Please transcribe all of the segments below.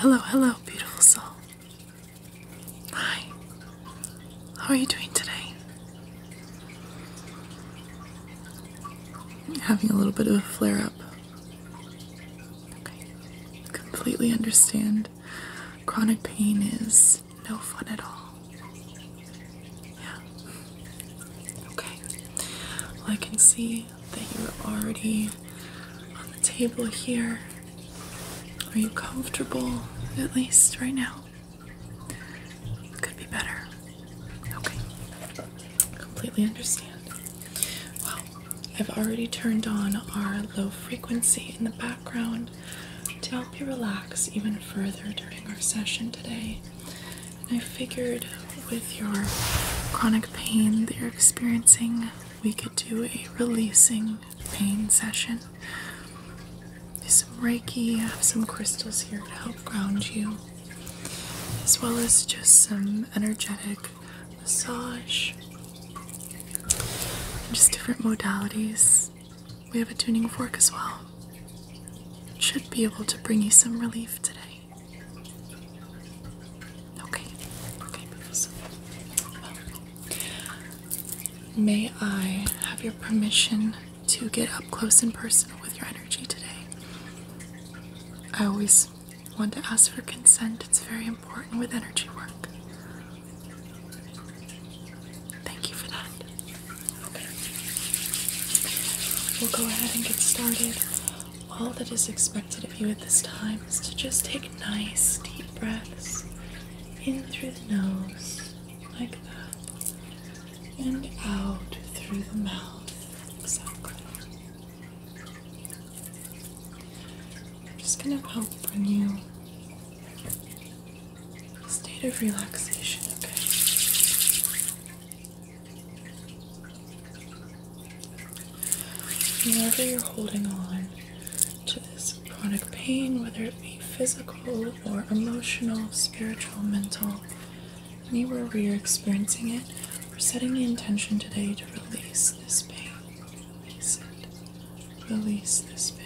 Hello, hello, hello, beautiful soul. Hi, how are you doing today? Having a little bit of a flare up. Okay. Completely understand. Chronic pain is no fun at all. Yeah. Okay. Well, I can see that you're already on the table here. Are you comfortable, at least right now? Could be better. Okay. Completely understand. Well, I've already turned on our low frequency in the background to help you relax even further during our session today. I figured with your chronic pain that you're experiencing, we could do a releasing pain session do some Reiki. I have some crystals here to help ground you, as well as just some energetic massage. just different modalities. We have a tuning fork as well. should be able to bring you some relief today. Okay, okay, May I have your permission to get up close and personal with your energy today. I always want to ask for consent, it's very important with energy work. Thank you for that. Okay. We'll go ahead and get started. All that is expected of you at this time is to just take nice deep breaths in through the nose like that, and out through the mouth, exactly. I'm just going to help bring you a state of relaxation, okay? Whenever you're holding on to this Chronic pain, whether it be physical or emotional, spiritual, mental, anywhere where you're experiencing it, we're setting the intention today to release this pain. Release it. Release this pain.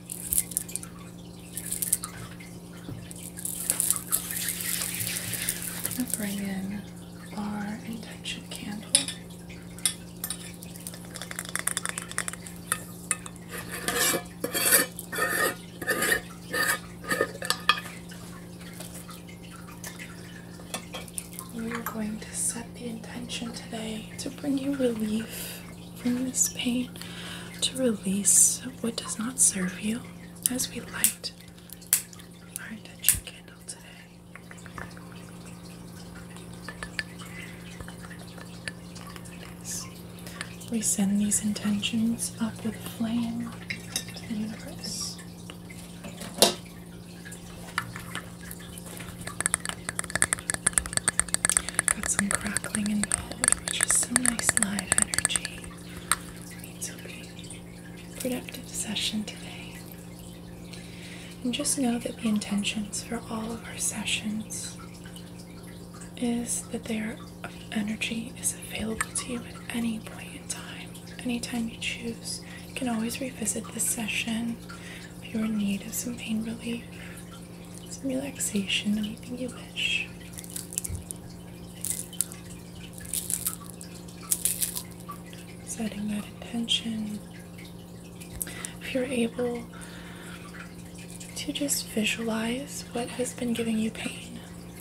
I'm going to bring in our intention candle. We are going to set the intention today to bring you relief from this pain, to release what does not serve you as we light our intention candle today. We send these intentions up with flame to the universe. Got some crackling involved, which some nice live energy. It's a Productive session today. And just know that the intentions for all of our sessions is that their energy is available to you at any point in time, anytime you choose. You can always revisit this session if you're in need of some pain relief some relaxation, anything you wish. Setting that intention. If you're able to just visualize what has been giving you pain,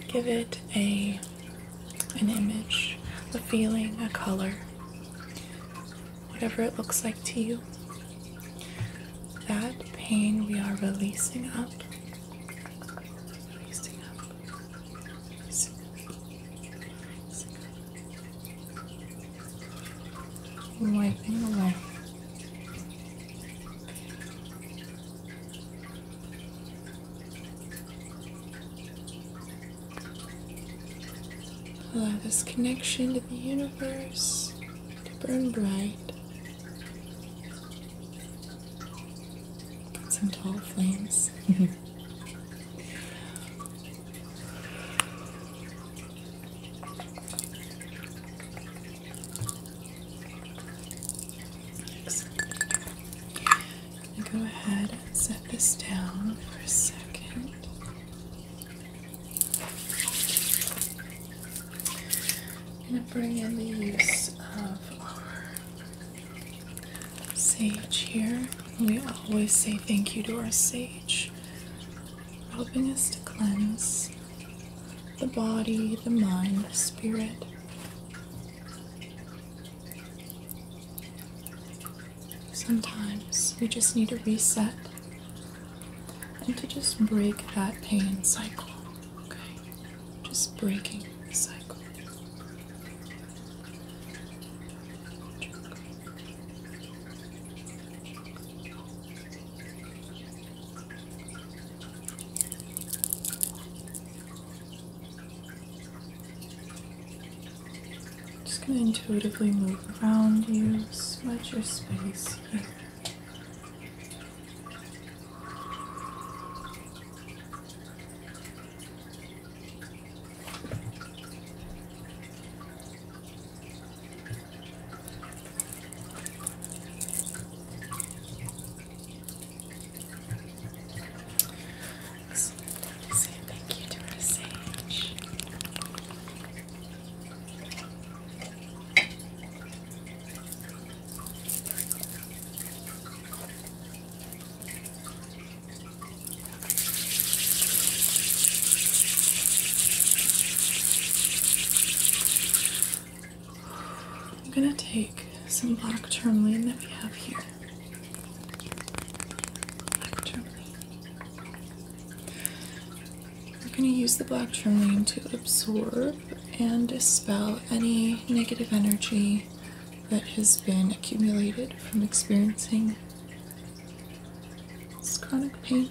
give it a an image, a feeling, a color, whatever it looks like to you. That pain we are releasing up Releasing up. Releasing up. Releasing Allow this connection to the universe to burn bright some tall flames. go ahead and set this down for a second. I'm going to bring in the use of uh, our sage here. We always say thank you to our sage, helping us to cleanse the body, the mind, the spirit. Sometimes we just need to reset and to just break that pain cycle. Okay, just breaking the cycle. Just going to intuitively move around you, smudge your space here. So, say thank you to our sage. I'm going to take some black tourmaline that we have here. We're going to use the black tourmaline to absorb and dispel any negative energy that has been accumulated from experiencing this chronic pain.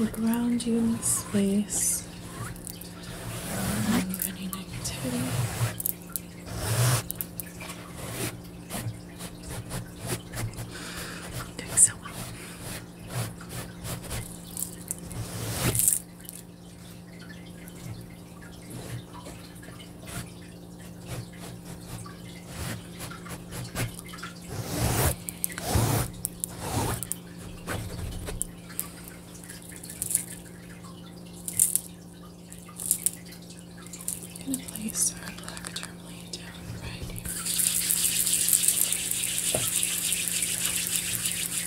look around you in space. Um, any negativity. Doing so well. I'm going to place our black tourmaline down right here.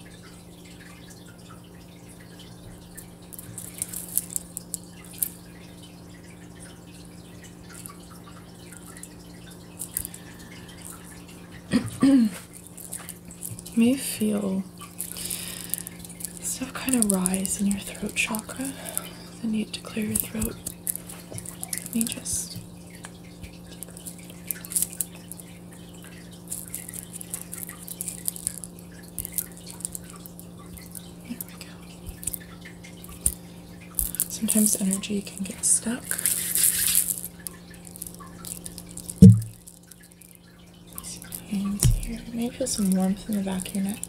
may feel stuff kind of rise in your throat chakra, the need to clear your throat. Let me just Sometimes energy can get stuck. Hands here. Maybe feel some warmth in the back of your neck.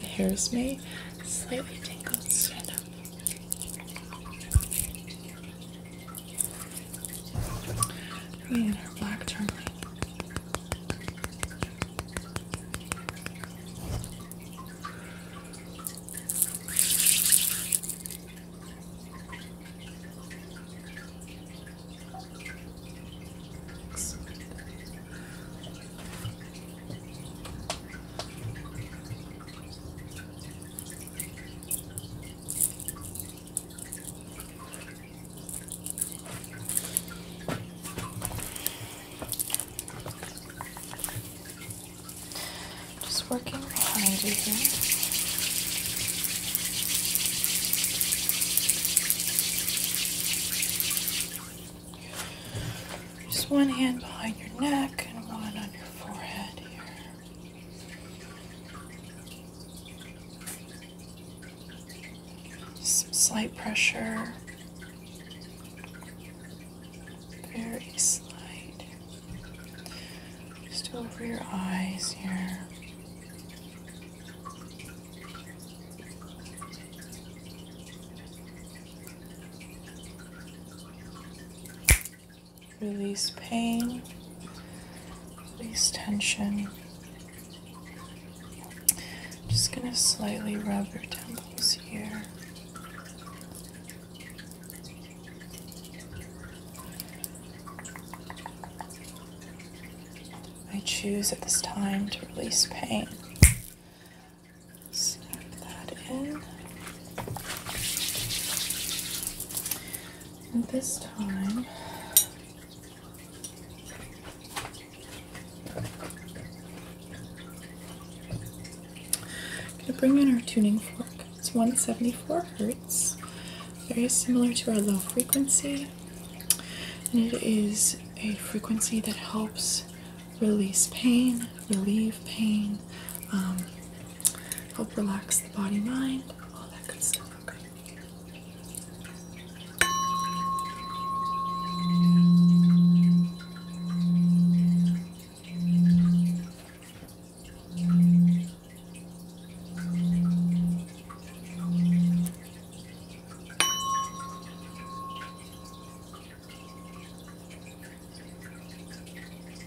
The hairs may slightly tingle. Stand up. We had our black turkey. Just working behind you here. Just one hand behind your neck and one on your forehead here some slight pressure. Very slight. Just over your eyes here release pain, release tension. just going to slightly rub your temples here. I choose at this time to release pain. Snap that in. And this time, I'm going to bring in our tuning fork. It's 174 hertz, very similar to our low frequency, and it is a frequency that helps release pain, relieve pain. Um, help relax the body, mind, all that good stuff.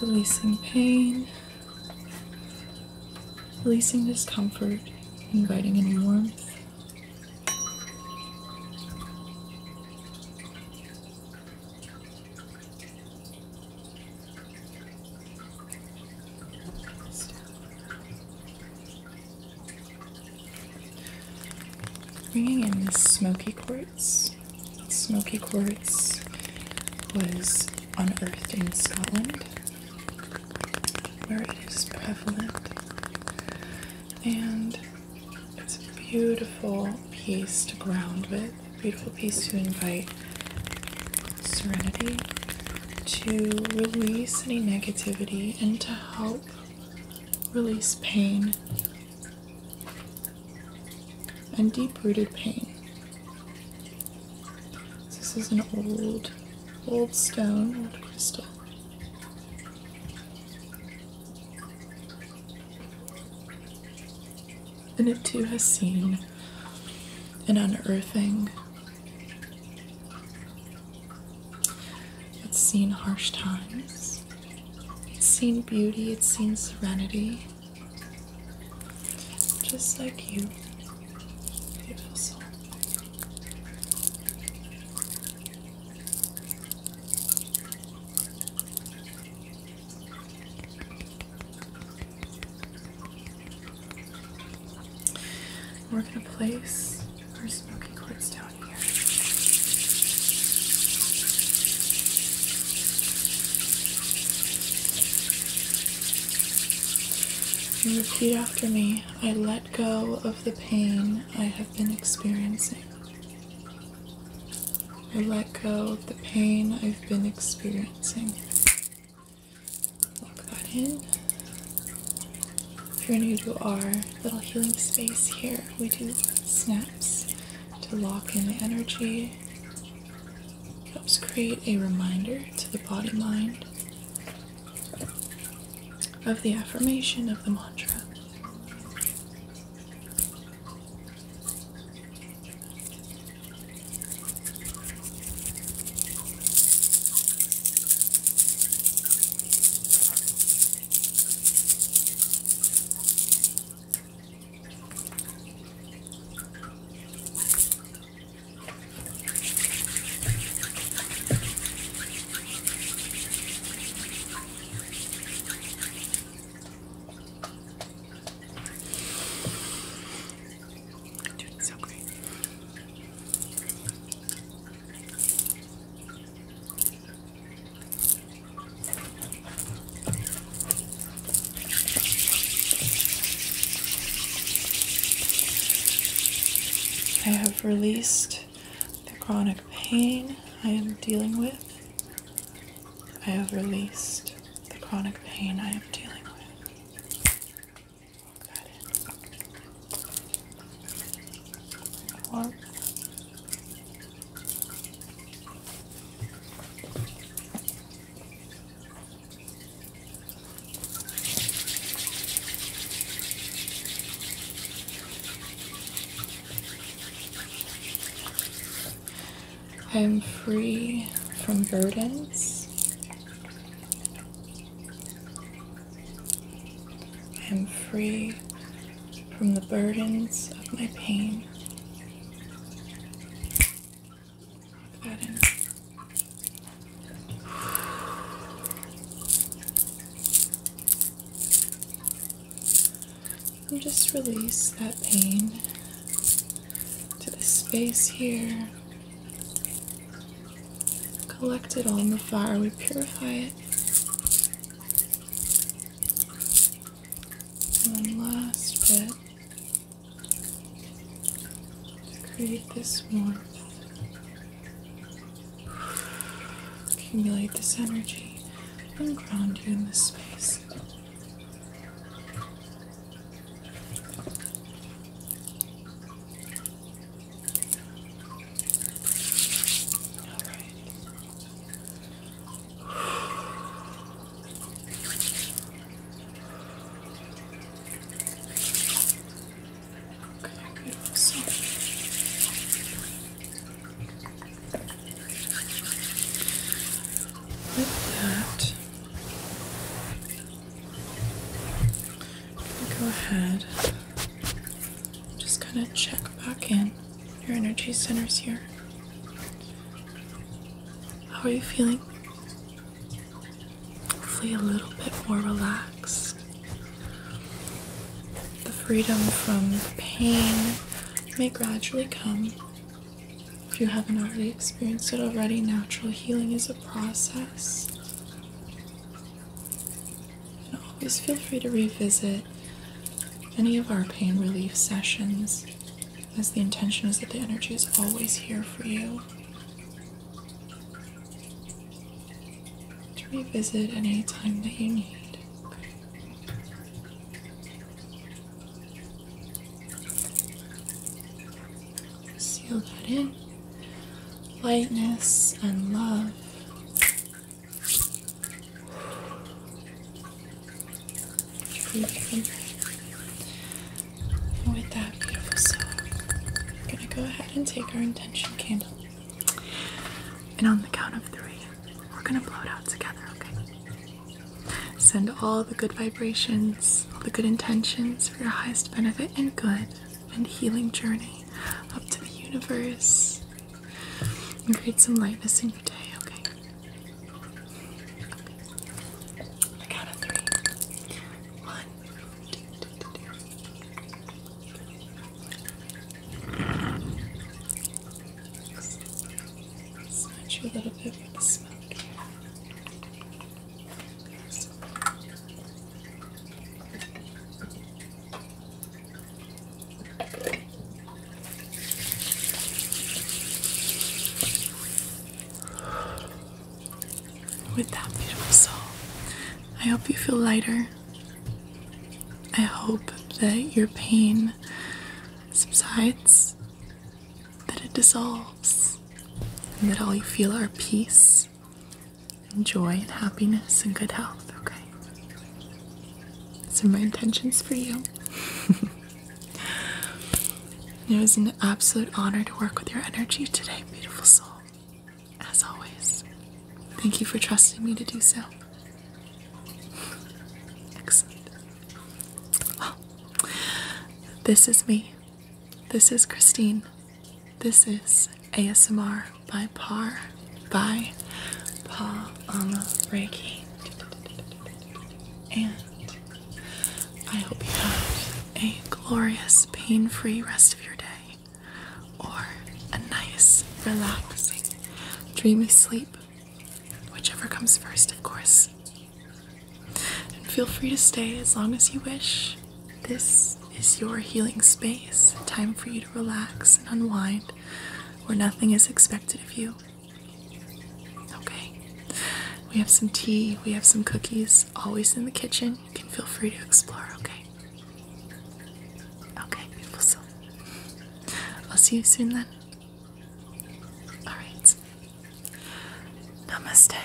releasing pain, releasing discomfort, inviting in warmth. Bringing in this smoky quartz. Smoky quartz was unearthed in Scotland, where it is prevalent and it's a beautiful piece to ground with, beautiful piece to invite serenity, to release any negativity, and to help release pain and deep rooted pain. This is an old, old stone, old crystal. And it too has seen an unearthing. It's seen harsh times. It's seen beauty. It's seen serenity. Just like you, beautiful soul. We're going to place our smoking quartz down here. repeat after me I let go of the pain I have been experiencing. I let go of the pain I've been experiencing. Lock that in. If you're new to our little healing space here, we do snaps to lock in the energy. Helps create a reminder to the body mind of the affirmation of the mantra. I have released the chronic pain I am dealing with. I have released the chronic pain I am dealing with. Walk that in. I am free from burdens. I am free from the burdens of my pain. And just release that pain to the space here. Collect it all in the fire, we purify it. One last bit to create this warmth. Accumulate this energy and ground you in this space color it that, go ahead. Just kind of check back in your energy centers here. How are you feeling? Hopefully, a little bit more relaxed. The freedom from pain may gradually come. If you haven't already experienced it already, natural healing is a process. And always feel free to revisit any of our pain relief sessions, as the intention is that the energy is always here for you to revisit any time that you need. Seal that in. Lightness and love. with that beautiful song, I'm going to go ahead and take our intention candle. And on the count of three, we're gonna blow it out together, okay? Send all the good vibrations, all the good intentions for your highest benefit and good and healing journey up to the universe and create some lightness in your day, okay? On the count of three. One, two, two, two, two. Search a little bit for the smoke With that beautiful soul, I hope you feel lighter I hope that your pain subsides, that it dissolves, and that all you feel are peace and joy and happiness and good health, okay? So, my intentions for you. it was an absolute honor to work with your energy today, beautiful soul as always. Thank you for trusting me to do so. Excellent. this is me. This is Christine. This is ASMR by Par by Pa Ama Reiki. And I hope you have a glorious, pain free rest of your day or a nice, relaxing, dreamy sleep, whichever comes first, of course. And feel free to stay as long as you wish. This is your healing space, time for you to relax and unwind where nothing is expected of you. Okay. We have some tea, we have some cookies, always in the kitchen. You can feel free to explore, okay? Okay, beautiful soul. I'll see you soon then. Alright. Namaste.